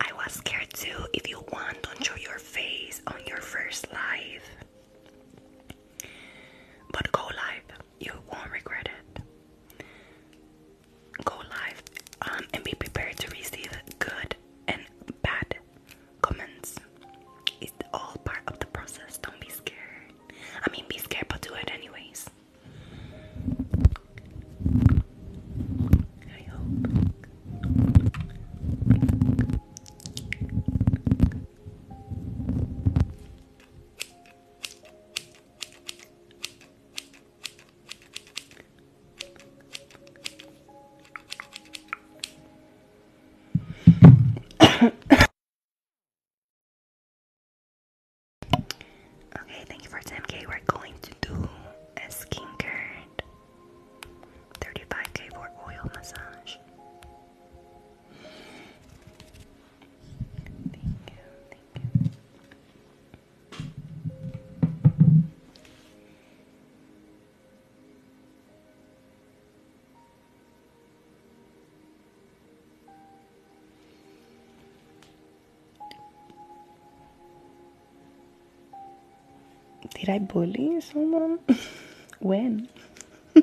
I was scared too. If you want, don't show your face on your first live. But go live, you won't regret it. Go live um, and be prepared to receive good and bad comments. It's all part of the process. Don't be scared. I mean, be scared, but do it anyways. I hope okay, thank you for 10k. We're going to do a skincare 35k oil massage. Thank you, thank you. Did I bully someone? when?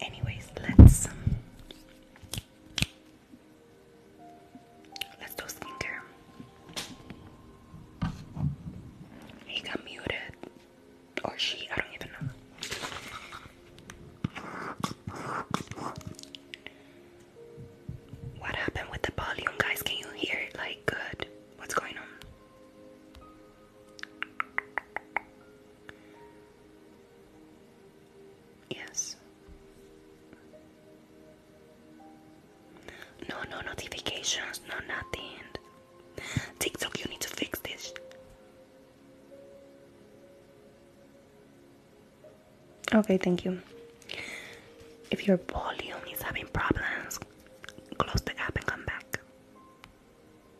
Anyways, let's Let's do skincare. He got muted. Or she, I don't even know. What happened with the volume, guys? Can you hear like good? What's going on? Yes. No, no notifications, no nothing. TikTok, you need to fix this. Okay, thank you. If your volume is having problems, close the app and come back.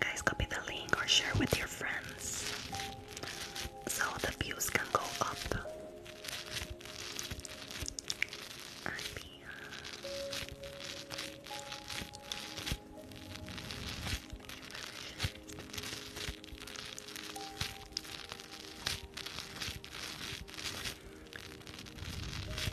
Guys, copy the link or share with your friends so the views can go up.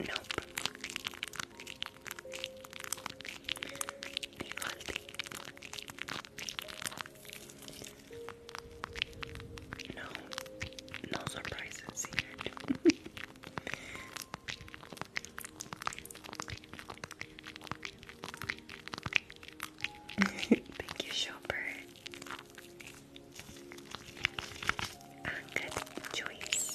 Nope. Be healthy. No, no surprises here. Thank you, shopper. A good choice.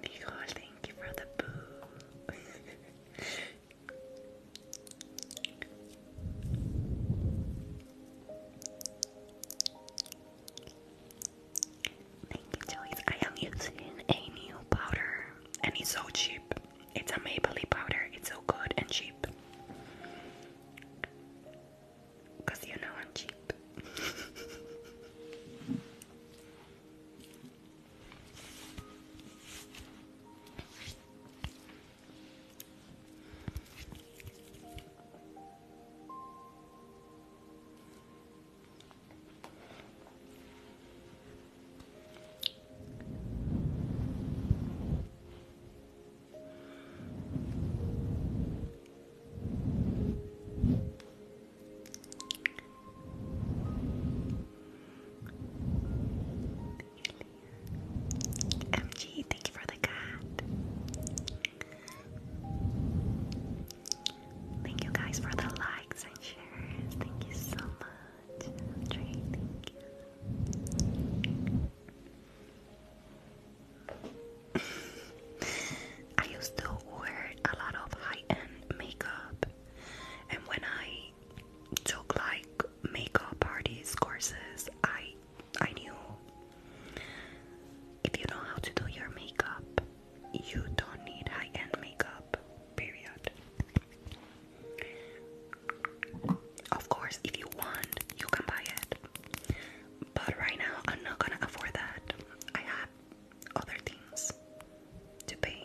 Nicole, thank you for the boo. Thank you, Joyce. I am a new powder and it's so cheap. It's a maple leaf powder. It's so good and cheap. Because you know I'm cheap. MG, thank you for the cat. Thank you guys for the likes and shares. Thank you so much. Andre, you. I wear a lot of high-end makeup, and when I took like makeup parties courses, I I knew if you know how to do your makeup, you don't need high end makeup, period. Of course, if you want, you can buy it. But right now, I'm not gonna afford that. I have other things to pay.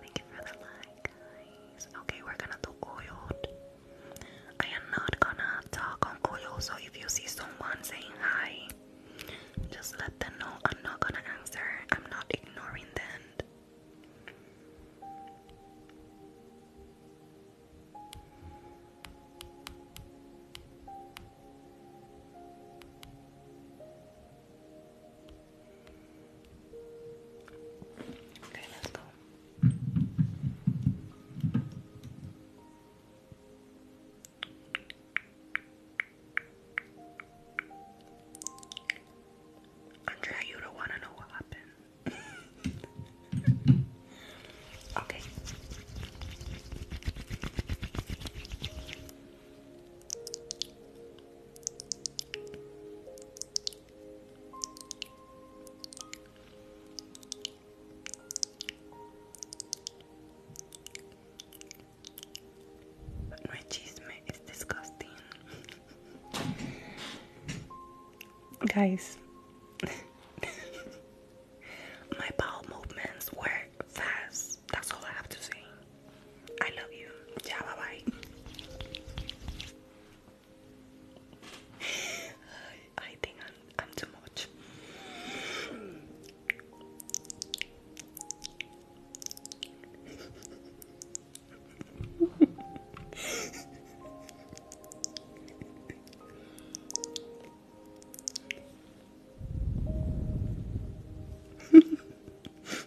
Thank you for the light, guys. Okay, we're gonna do oil. I am not gonna talk on oil, so if you see someone saying hi, just let them know I'm not gonna answer. I'm not ignoring them. Okay, you don't want to know what happened. okay. My chisme is disgusting. Guys, my bowel movements were fast. That's all I have to say. I love you. Yeah, bye bye. I think I'm I'm too much.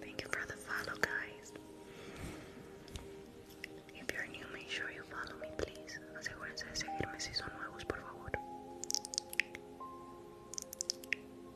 Thank you for the follow, guys. If you're new, make sure you follow me, please. Asegúrense de seguirme si son nuevos, por favor.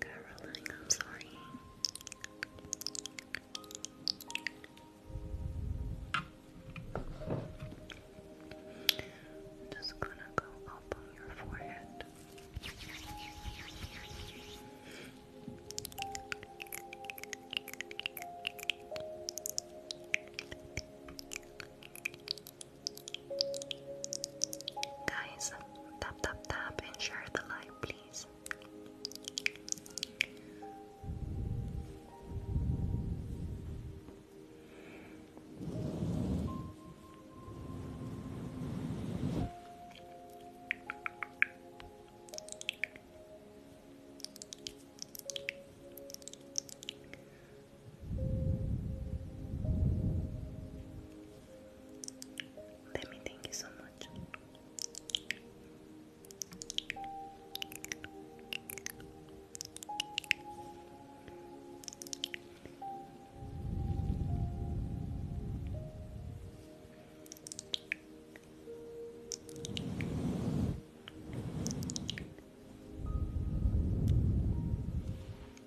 Caroline, I'm sorry. just gonna go up on your forehead. Guys, tap tap tap and share the live, please. Let me thank you so much.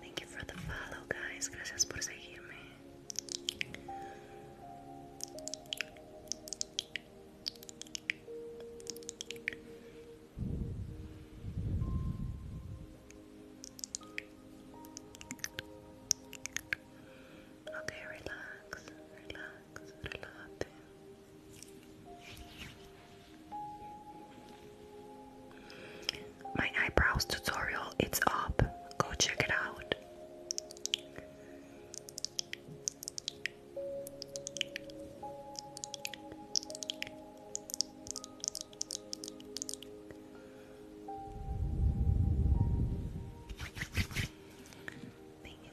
Thank you for the follow, guys. Gracias por seguirme. Okay, relax, relax, relate. My eyebrows tutorial, it's up. Go check it out. Thank you,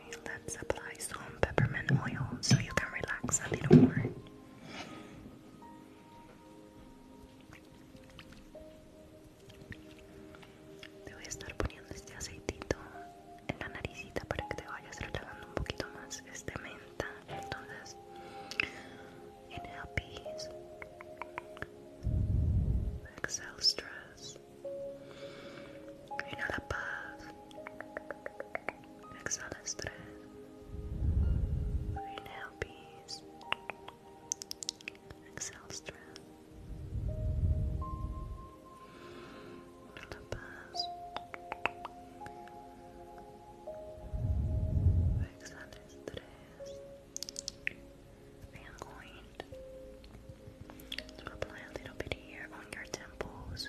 let's apply some peppermint oil so you can relax a little more. Te voy a estar poniendo este aceitito en la naricita para que te vayas relajando un poquito más. Es de menta, entonces it helps exhale stress. Inhala paz exhala estrés, inhale peace, exhale stress, inhale paz, exhala estrés, and going apply a little bit here on your temples.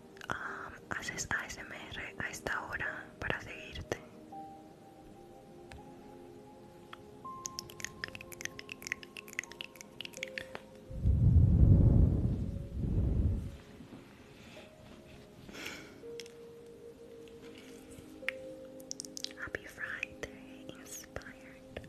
um, haces ASMR a esta hora para seguirte? Happy Friday, inspired.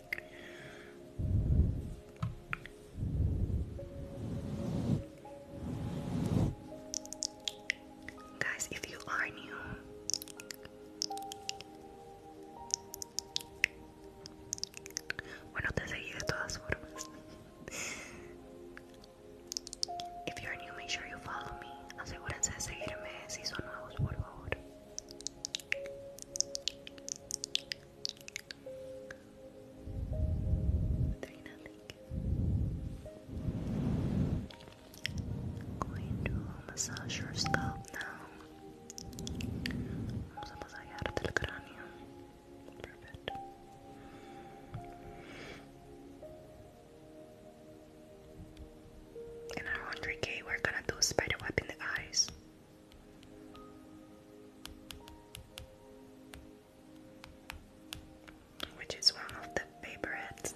Guys, if you are new, bueno, te seguí de todas formas. If you're new, make sure you follow me. Asegúrense de seguirme si son nuevos, por favor. Three nothing. Going to massage your scalp now. Vamos a masajearte el cráneo. Perfect. In our 100k, we're gonna do spider web in the eyes which is one of the favorites.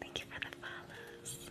Thank you for the follows.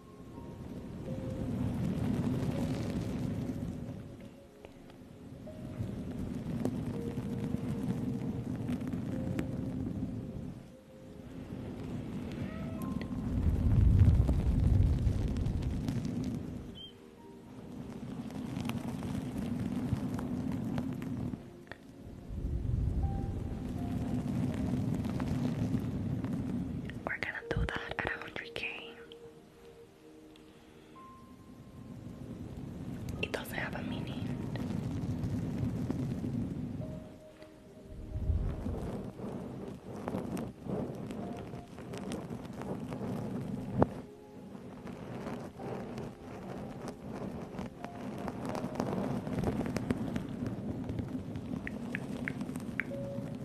We're gonna do that at 100k. It doesn't have a meaning.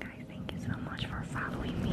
Guys, thank you so much for following me.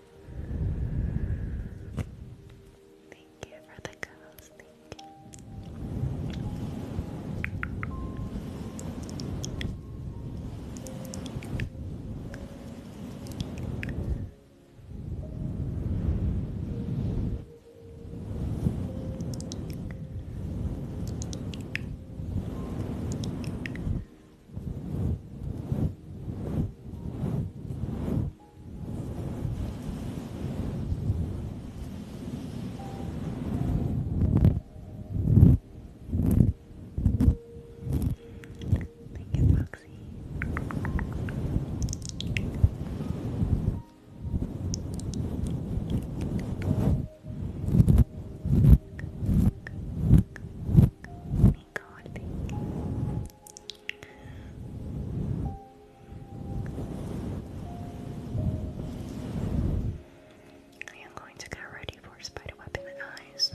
Thank you for the girls. Thank you. Thank you, Foxy. Thank God, thank you. I am going to get ready for spider web in the eyes.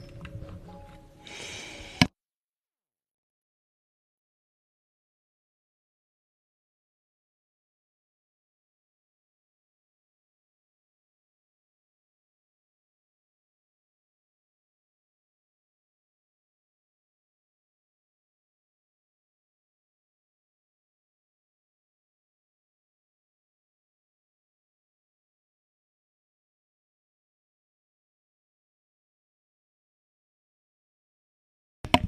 Okay,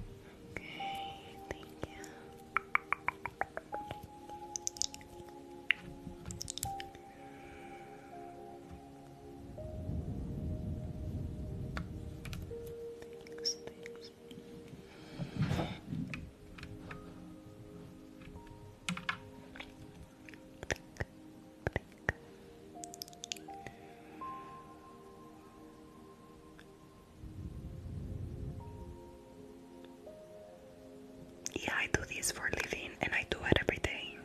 thank you. Thanks, thanks. Yeah, I do this for a living and I do it every day.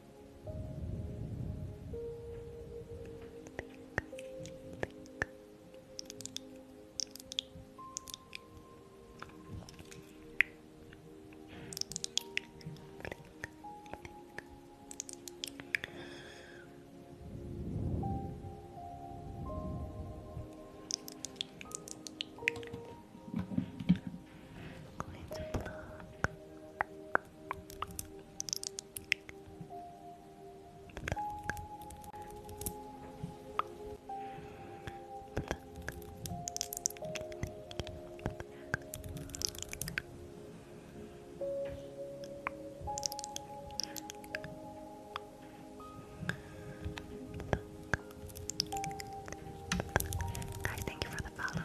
going to block Guy, thank you for the follow.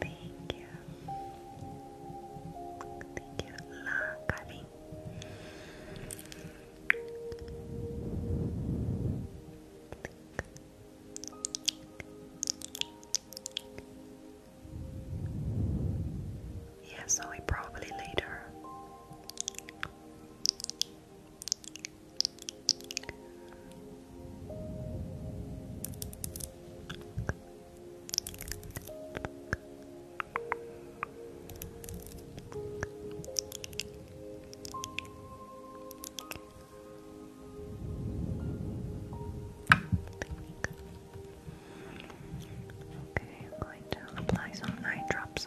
Thank you. Thank you, La Cali. Yeah, I probably later Okay, I'm going to apply some night drops.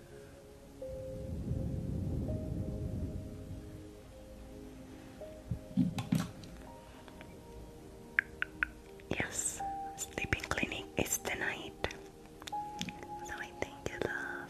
Yes, sleeping clinic is tonight. So I thank love.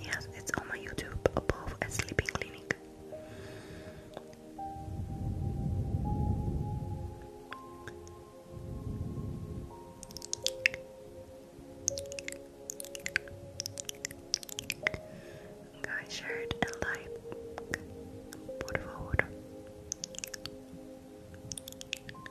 Yes, it's on my YouTube above a sleeping clinic. Guys, shirt and like, por favor.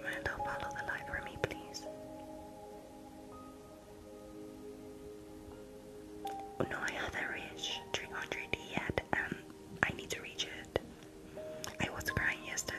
Miranda, follow the light for me, please. Oh, no, I haven't reached 300 yet, and I need to reach it. I was crying yesterday.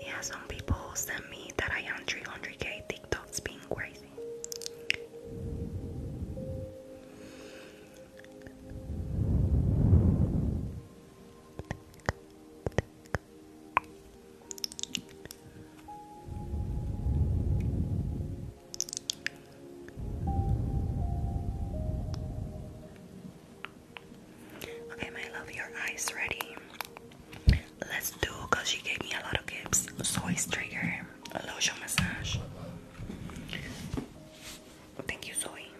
Yeah, some people send me that I am 300k. TikTok's being crazy. Okay, my love, your eyes ready. Let's do because she gave me a lot of gifts. Soy's trigger, lotion massage. Thank you, Zoe.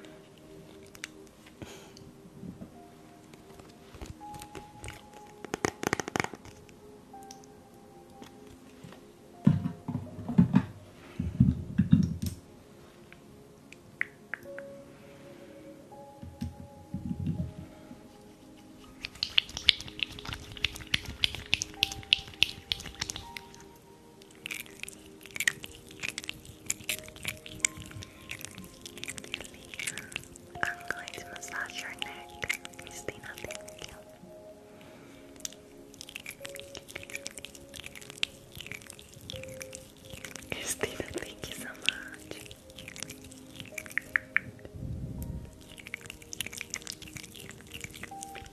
I'm going to massage your neck, Christina. Thank you. Thank you. Christina, thank you so much. Thank you, Christina. I have love. Thank you so much.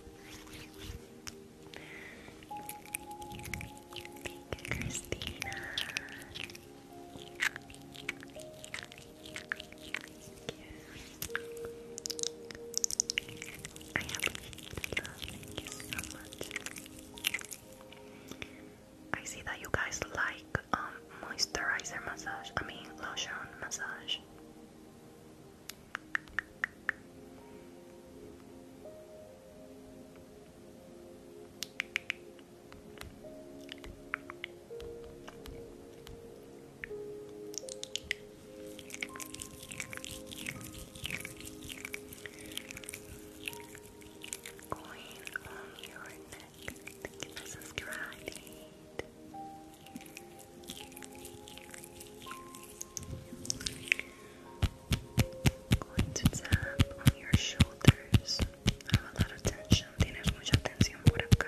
I see that you guys like um, moisturizer massage, I mean lotion massage. Going on um, your neck. Thank you Going to tap on your shoulders. have a lot of tension. Tienes mucha tensión por acá.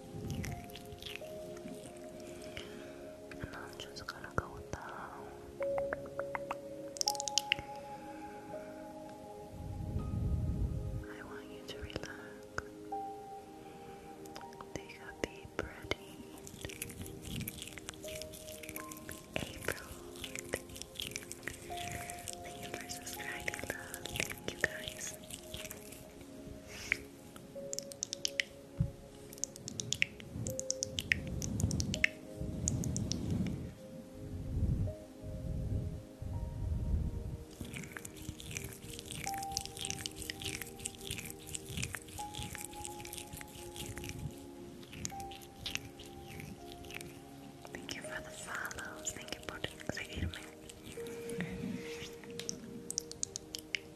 I'm just gonna go down. I want you to relax. Take a deep breath April. Thank you for subscribing, Thank you guys. Thank you for the follows. Thank you for the excitement.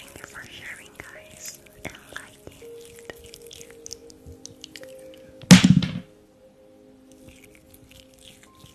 Thank you for sharing, guys, and liking it.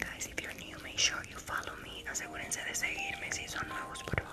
Guys, if you're new, make sure you follow me. Asegúrense de seguirme si son nuevos, por favor.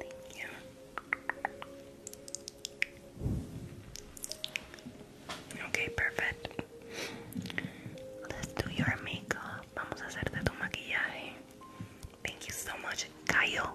Thank you. Ok, perfecto. Let's do your makeup. Vamos a hacerte tu maquillaje. Thank you so much, Cayo.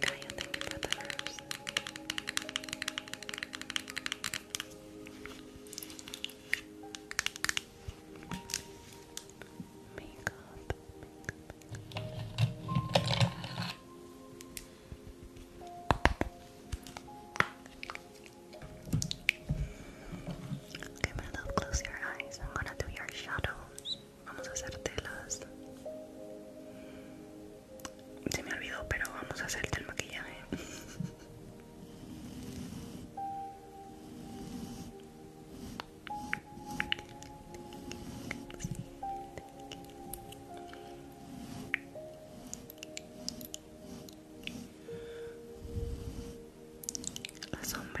Kaya, thank you for the close your eyes. I'm gonna do your shadows. Vamos a hacer telas Se me olvidó, pero vamos a hacerte el maquillaje. La sombra,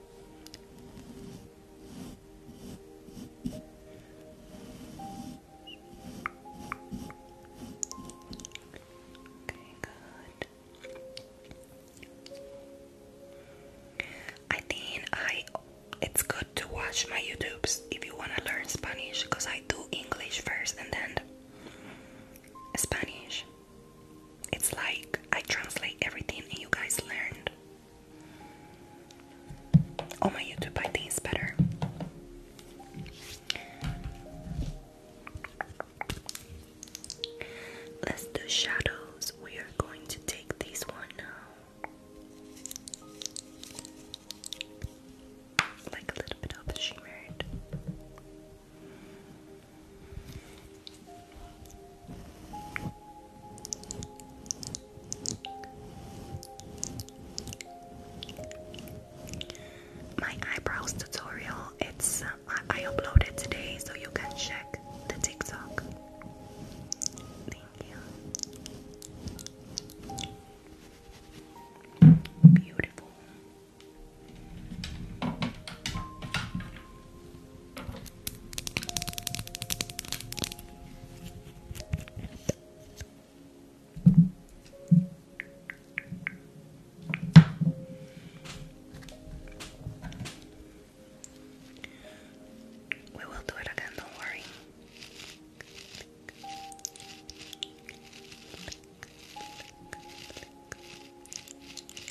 I think I it's good to watch my YouTubes if you want to learn Spanish because I do English first and then Spanish. It's like I translate everything you guys learned. On oh, my YouTube, I think it's better. Let's do shadows. We are going to take this one now. Like a little bit of shimmered. My eyebrows tutorial, it's uh, I uploaded today so you can check the TikTok. Thank you. Beautiful. We will do it again, don't worry.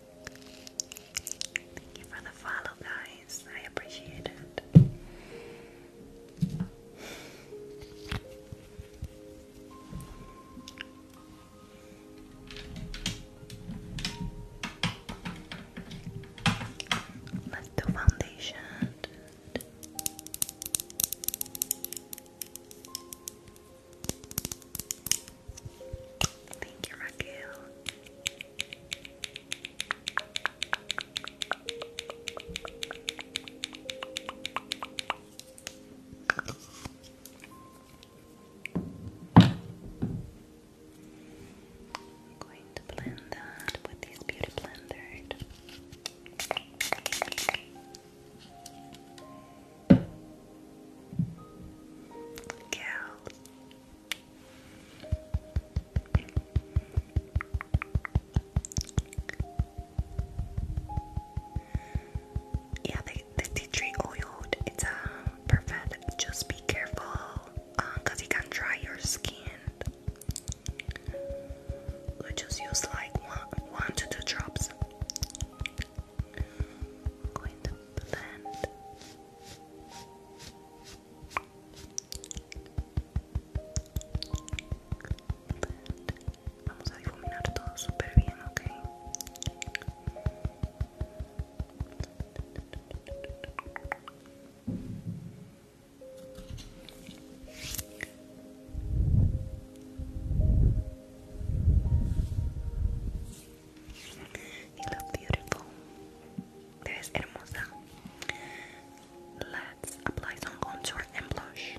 Thank you for the follow, guys. I appreciate it. Let's foundation. Thank you, Raquel. I'm going to blend that with this beauty blender. Girl, yeah, the, tea tree oil, it's uh, perfect. Just be careful because uh, um, it can dry your skin. just use like one, one to two drops. going to blend. Vamos a difuminar todo súper bien, ¿ok? You look beautiful. Eres hermosa. Let's apply some contour and blush.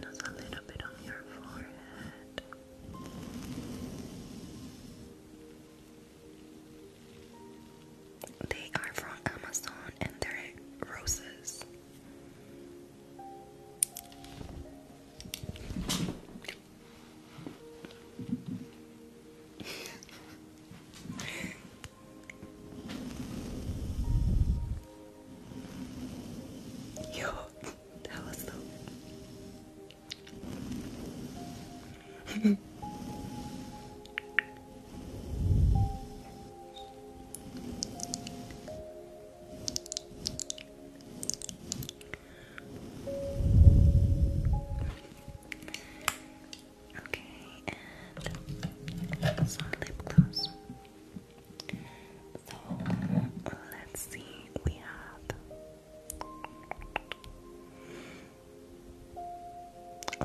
Just a little bit on your forehead. They are from Amazon and they're roses. Yo, that was so. Okay, and some lip gloss. So let's see, we have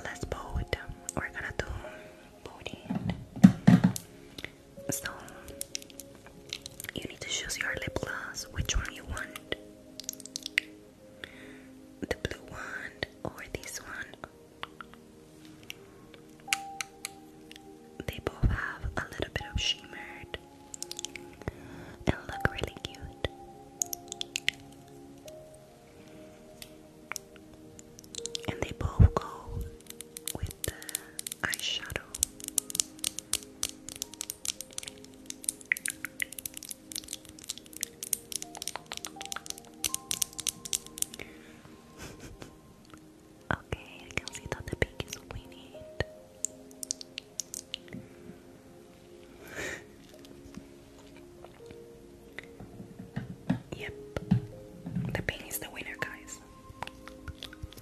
let's both. We're gonna do body. So you need to choose your lip gloss, which one you want. The blue one or this one. They both have a little bit of shimmered and look really cute. And they both go with eyeshadow. okay, I can see that the pink is what yep, the pink is the winner, guys.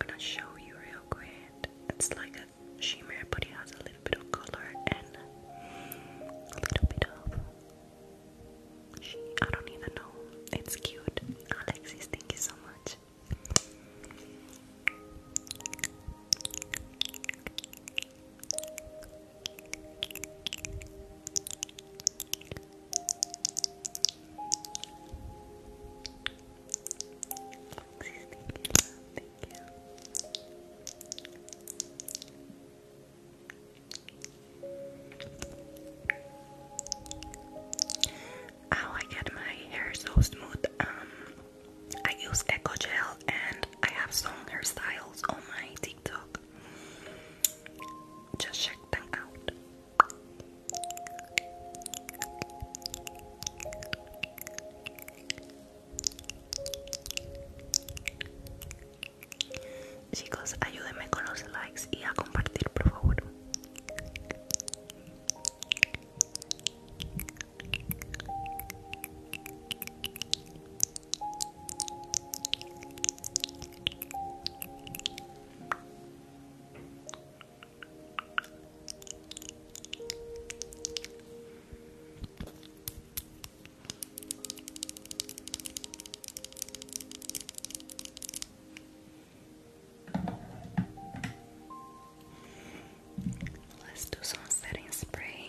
I'm gonna show you real quick. It's like a shimmer, but it has a little bit of color and a little bit of. I don't even know. It's cute. Alexis, thank you so much. How I get my hair so smooth. Um, I use Echo Gel and I have some hairstyles on my TikTok. Chicos, ayúdenme con los likes y a compartir, por favor. Let's do some setting spray.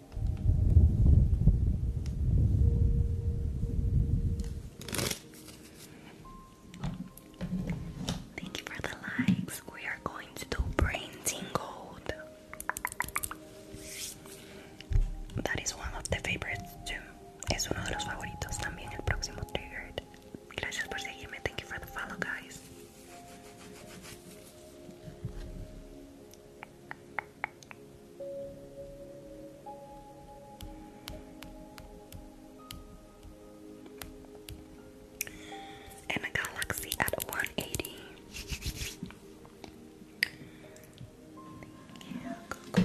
Thank you for the likes. We are going to do brain tingled. That is one of the favorites too. Es uno de los favoritos también el próximo triggered. Gracias por seguirme. Thank you for the follow, guys and a galaxy at 180. Thank you,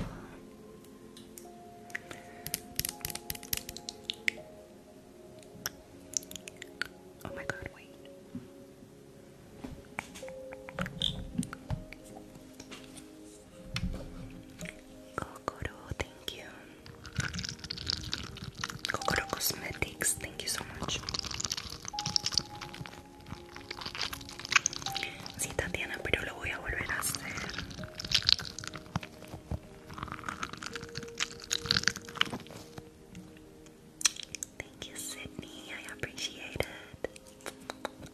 Oh my god, wait. Kokoro, thank you. Kokoro Cosmetics, thank you so much. Sí, Tatiana, pero lo voy a volver a hacer. Thank you, Sydney. I appreciate it.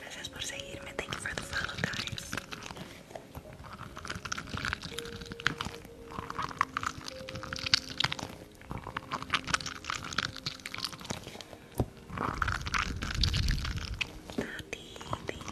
Gracias por seguirme. me you for the follow, Nati, thank you. Thank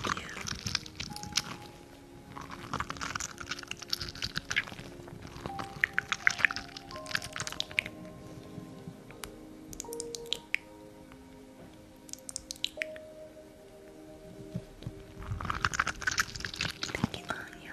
Thank you,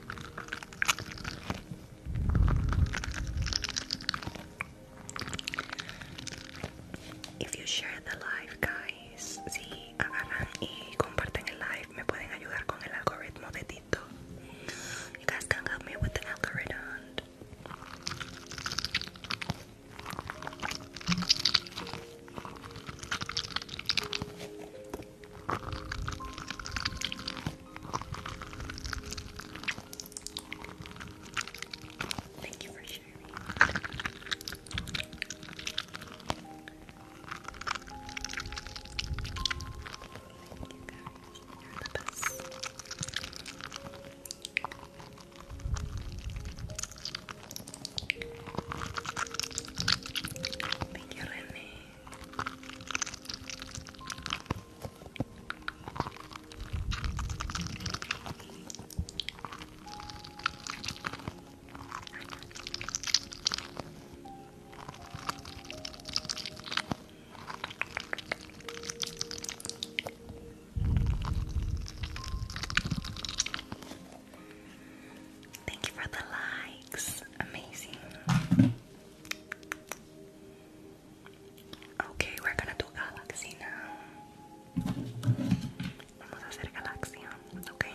If you share the live, guys, si agarran y comparten el live, me pueden ayudar con el algoritmo de You guys can help me with the algorithm. Thank you for sharing. Thank Thank you, Renee. Thank you for the likes. Amazing. Okay, we're gonna do galaxy now. Vamos a hacer galaxia, okay?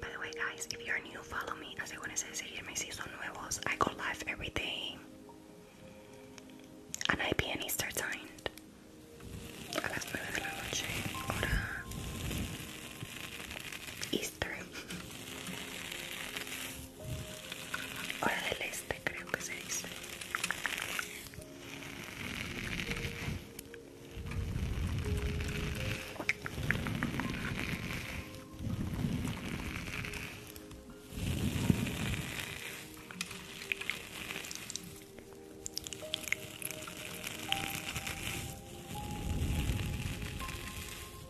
By the way, guys, if you're new, follow me. Asegúrense de seguirme si son nuevos. I go live every day. and Easter time. A las 9 Hora del Este, creo que se dice.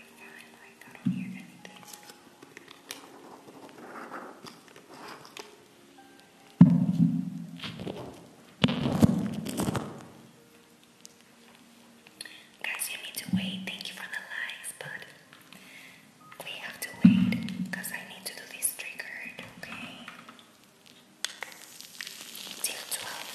I don't hear anything. Guys, you need to wait. Thank you for the likes, but we have to wait because I need to do this triggered, okay? Till 12.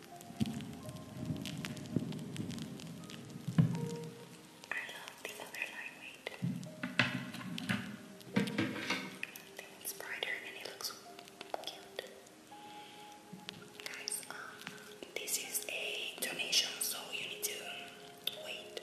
I love the other lightweight. I think it's brighter and it looks cute. Guys, um, this is a donation, so you need to wait.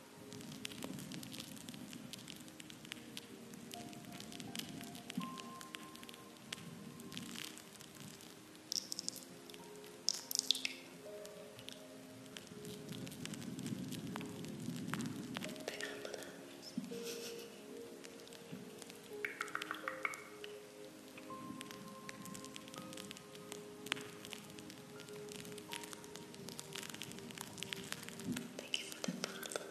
Thank you for the bottle.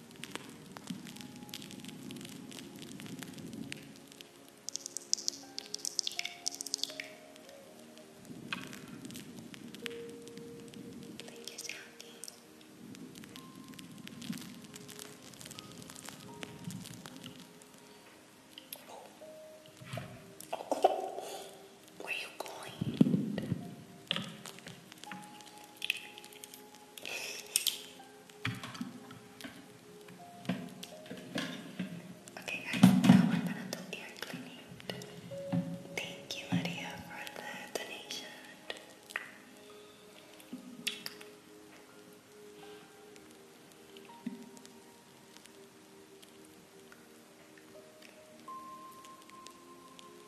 Thank you, Jackie. Where are you going? Okay guys, now we gonna do ear cleaning. Thank you Lydia for the donation.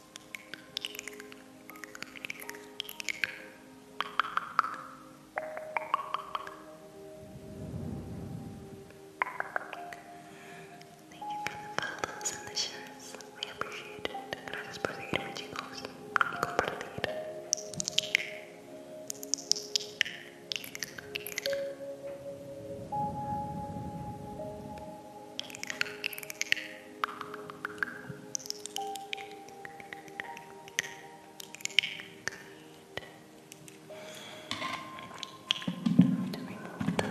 Thank you for the follows and the shares. We appreciate it. Gracias por seguirme, chicos. Good. Let me remove that.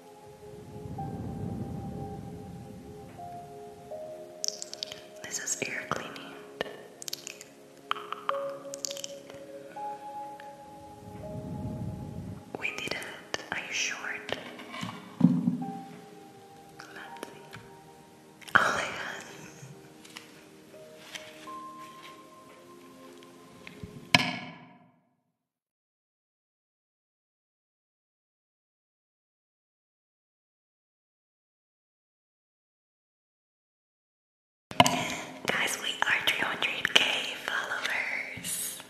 This is air cleaning. We did it. Are you sure? Let's see. Oh my god. Guys, we are 300k followers.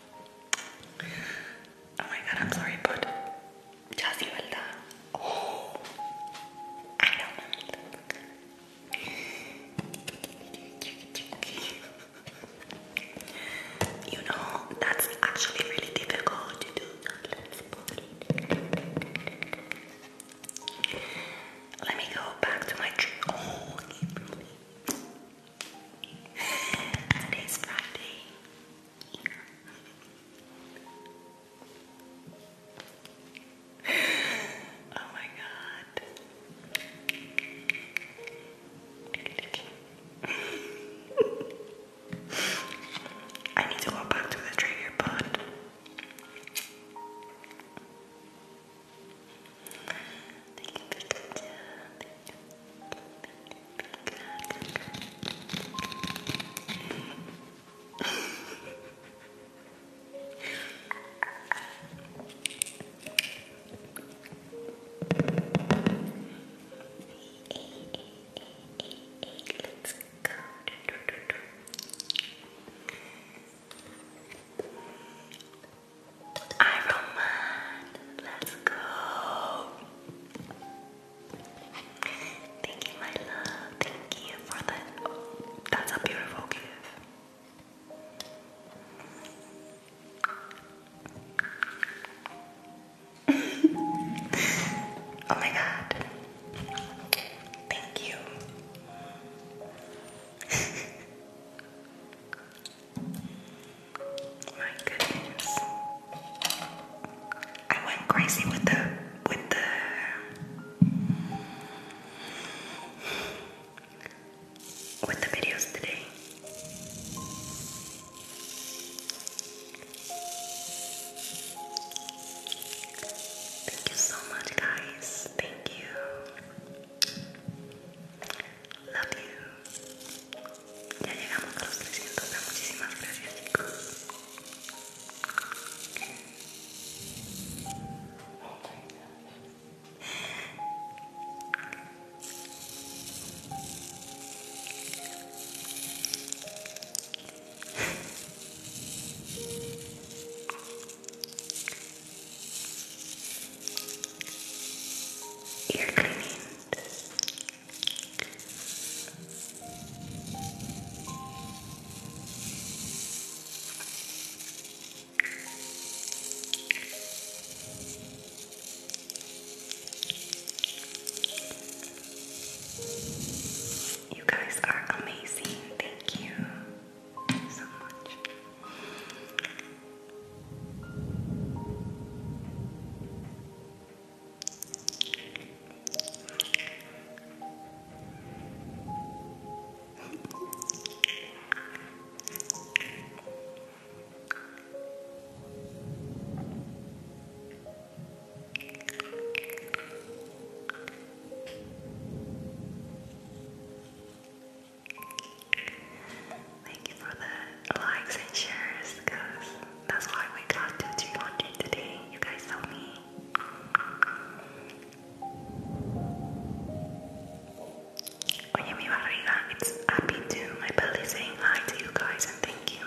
Oh my god, I'm sorry, but just you Oh, I you know, that's actually really difficult to do. let me go back to my tree. Today's Friday. oh my god. I need to go back to the trigger, but Let's go. Do, do, do, do. Iron let's go. Thank you, my love. Thank you for that. that's a beautiful gift oh my god. Thank you. my goodness. I went crazy with the with the with the videos today. Thank you so much, guys. Thank you. Love Ya llegamos a los 300. muchísimas gracias, chicos. Ear cleaning. You guys are amazing. Thank you so much. Thank you for the likes and shares because that's why we got to 200 today. You guys saw me. Oye, mi it's happy too. My belly saying hi to you guys and thank you.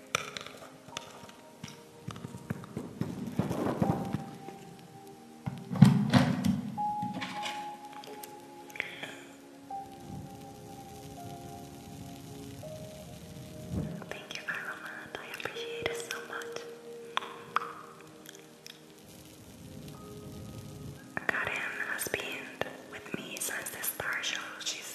Thank you, Ireland. I appreciate it so much. Karen has been with me since the star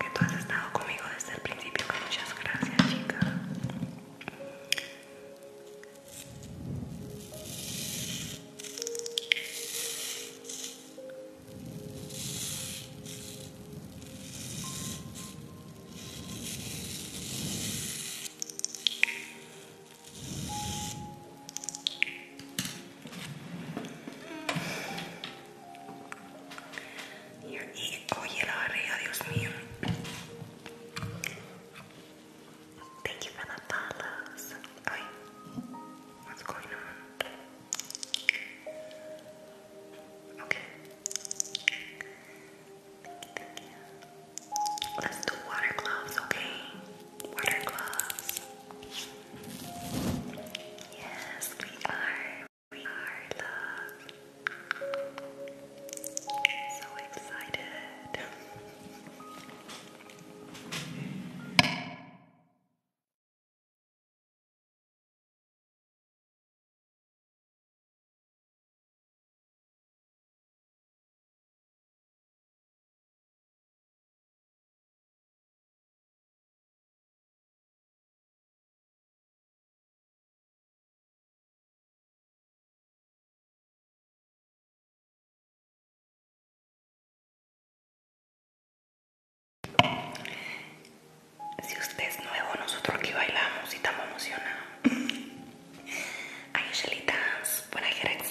que tú has estado conmigo desde el principio, pues, muchas gracias chica. Y oye la barriga, Dios mío. Thank you for the follows. what's going on? Okay. Let's do water gloves, okay? Water gloves. Yes, we are. We are love. So excited. Si usted es nuevo, nosotros aquí bailamos y estamos emocionados. I usually dance when I get excited.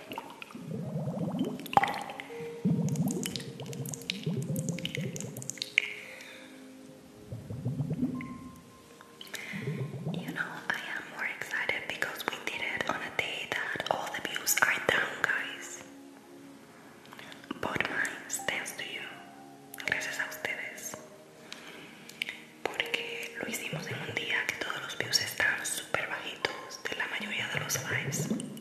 You know, I am more excited because we did it on a day that all the views are down, guys. But mine thanks to you. Gracias a ustedes. Porque lo hicimos en un día que todos los views están super bajitos de la mayoría de los lives.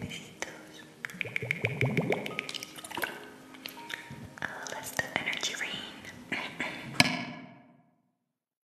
Besitos. Oh, that's the energy rain.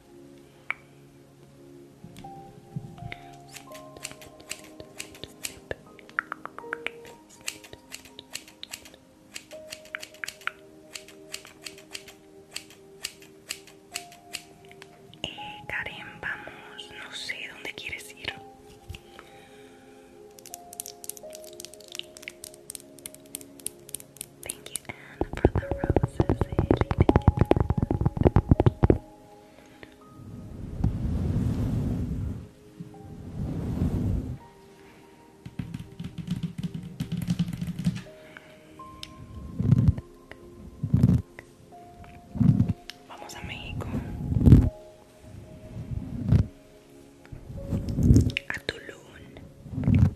Eh, Karen, vamos, no sé dónde quieres ir. Thank you, Anne, for the roses. Vamos a México. A Tulum.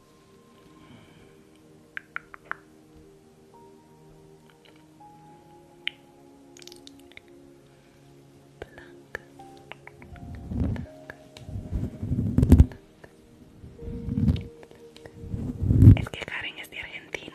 Es que Karen es de Argentina.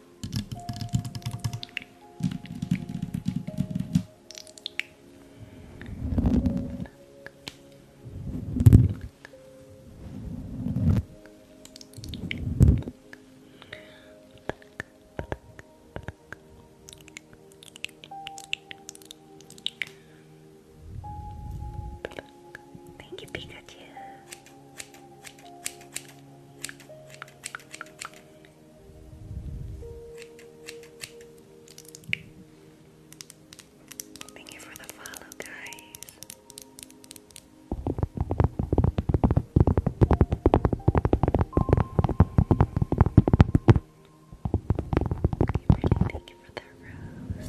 Thank you, Pikachu. Thank you for the follow, guys. thank you for that rose.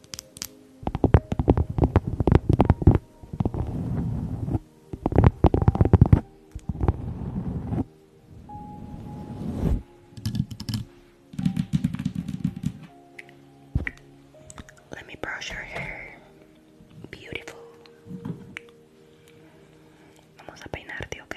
Let me brush her hair. Beautiful. Vamos a peinarte, ok?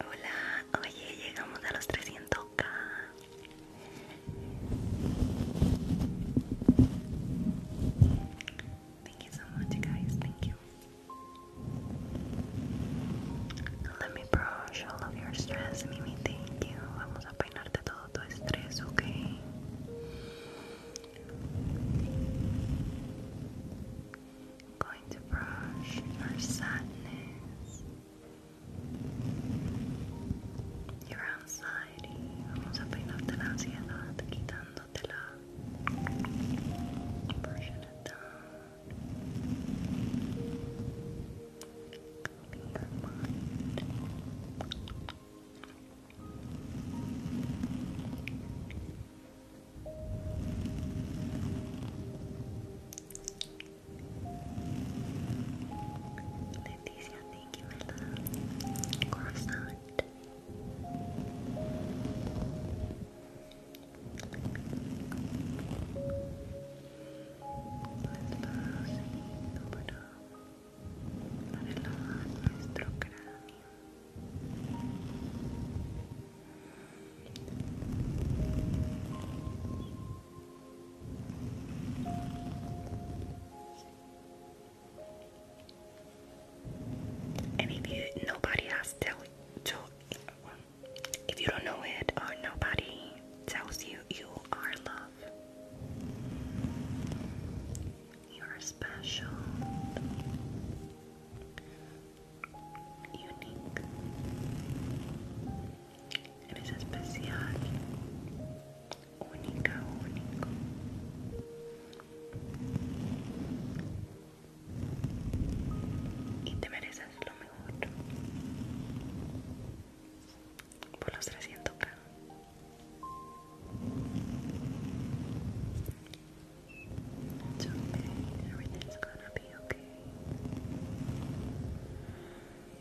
Hola, oye, llegamos a los 300k. Thank you so much, guys. Thank you. Let me brush all of your stress, Mimi. Thank you. Vamos a peinarte todo tu estrés, going to brush your sadness. Your anxiety. vamos a peinarte la ansiedad quitándotela la. Leticia, thank you, my love. Croissant. Para relajar nuestro cráneo. Muy and if you nobody has tell to if you don't know it or nobody tells you you are love. You are special. Unique. Eres especial. única, único. Y te mereces lo mejor. Por los 300k. be okay.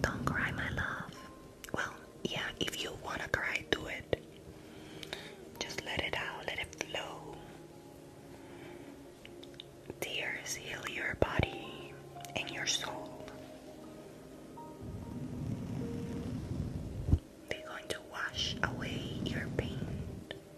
Don't cry, my love. Well, yeah, if you wanna cry, do it. Just let it out, let it flow. Tears heal your body and your soul. They're going to wash away your pain.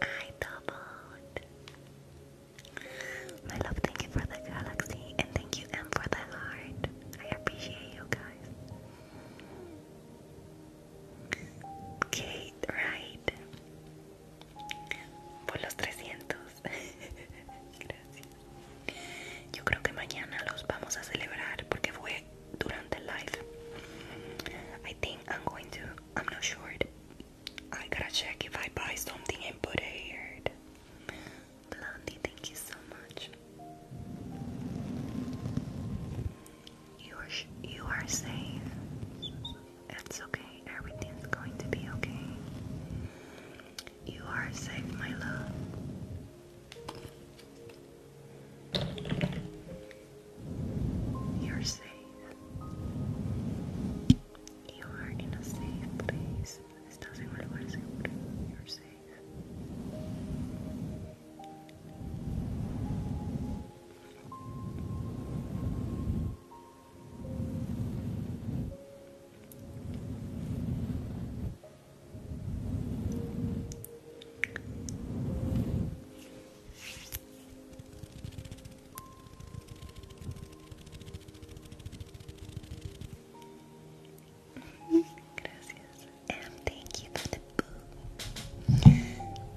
I doubled. My love, thank you for the galaxy and thank you, M, for the heart. I appreciate you guys. Kate, right? Por los 300. Gracias. I think I'm going to, I'm not sure. I gotta check if I buy something and put it here. Blondie, thank you so much. You are, you are safe. It's okay. Everything's going to be okay. You are safe, my love. You're safe. You are in a safe place. Estás en un lugar seguro. You're safe. Gracias. And thank you for the boo.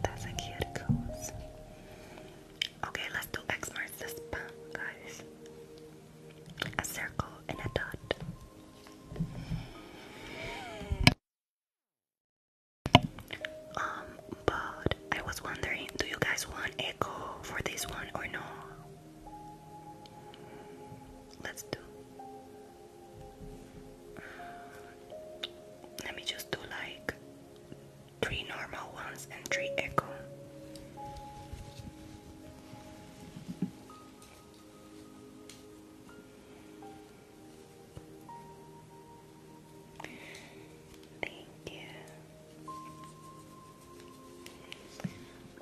That's a cute goose. Okay, let's do X marks the spot, guys a circle, and a dot. Um, but I was wondering, do you guys want echo for this one or no? Let's do. Let me just do like three normal ones and three echo.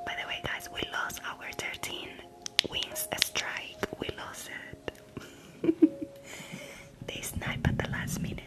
By the way, guys, we lost our 13 wings A strike. We lost it. this night at the last minute.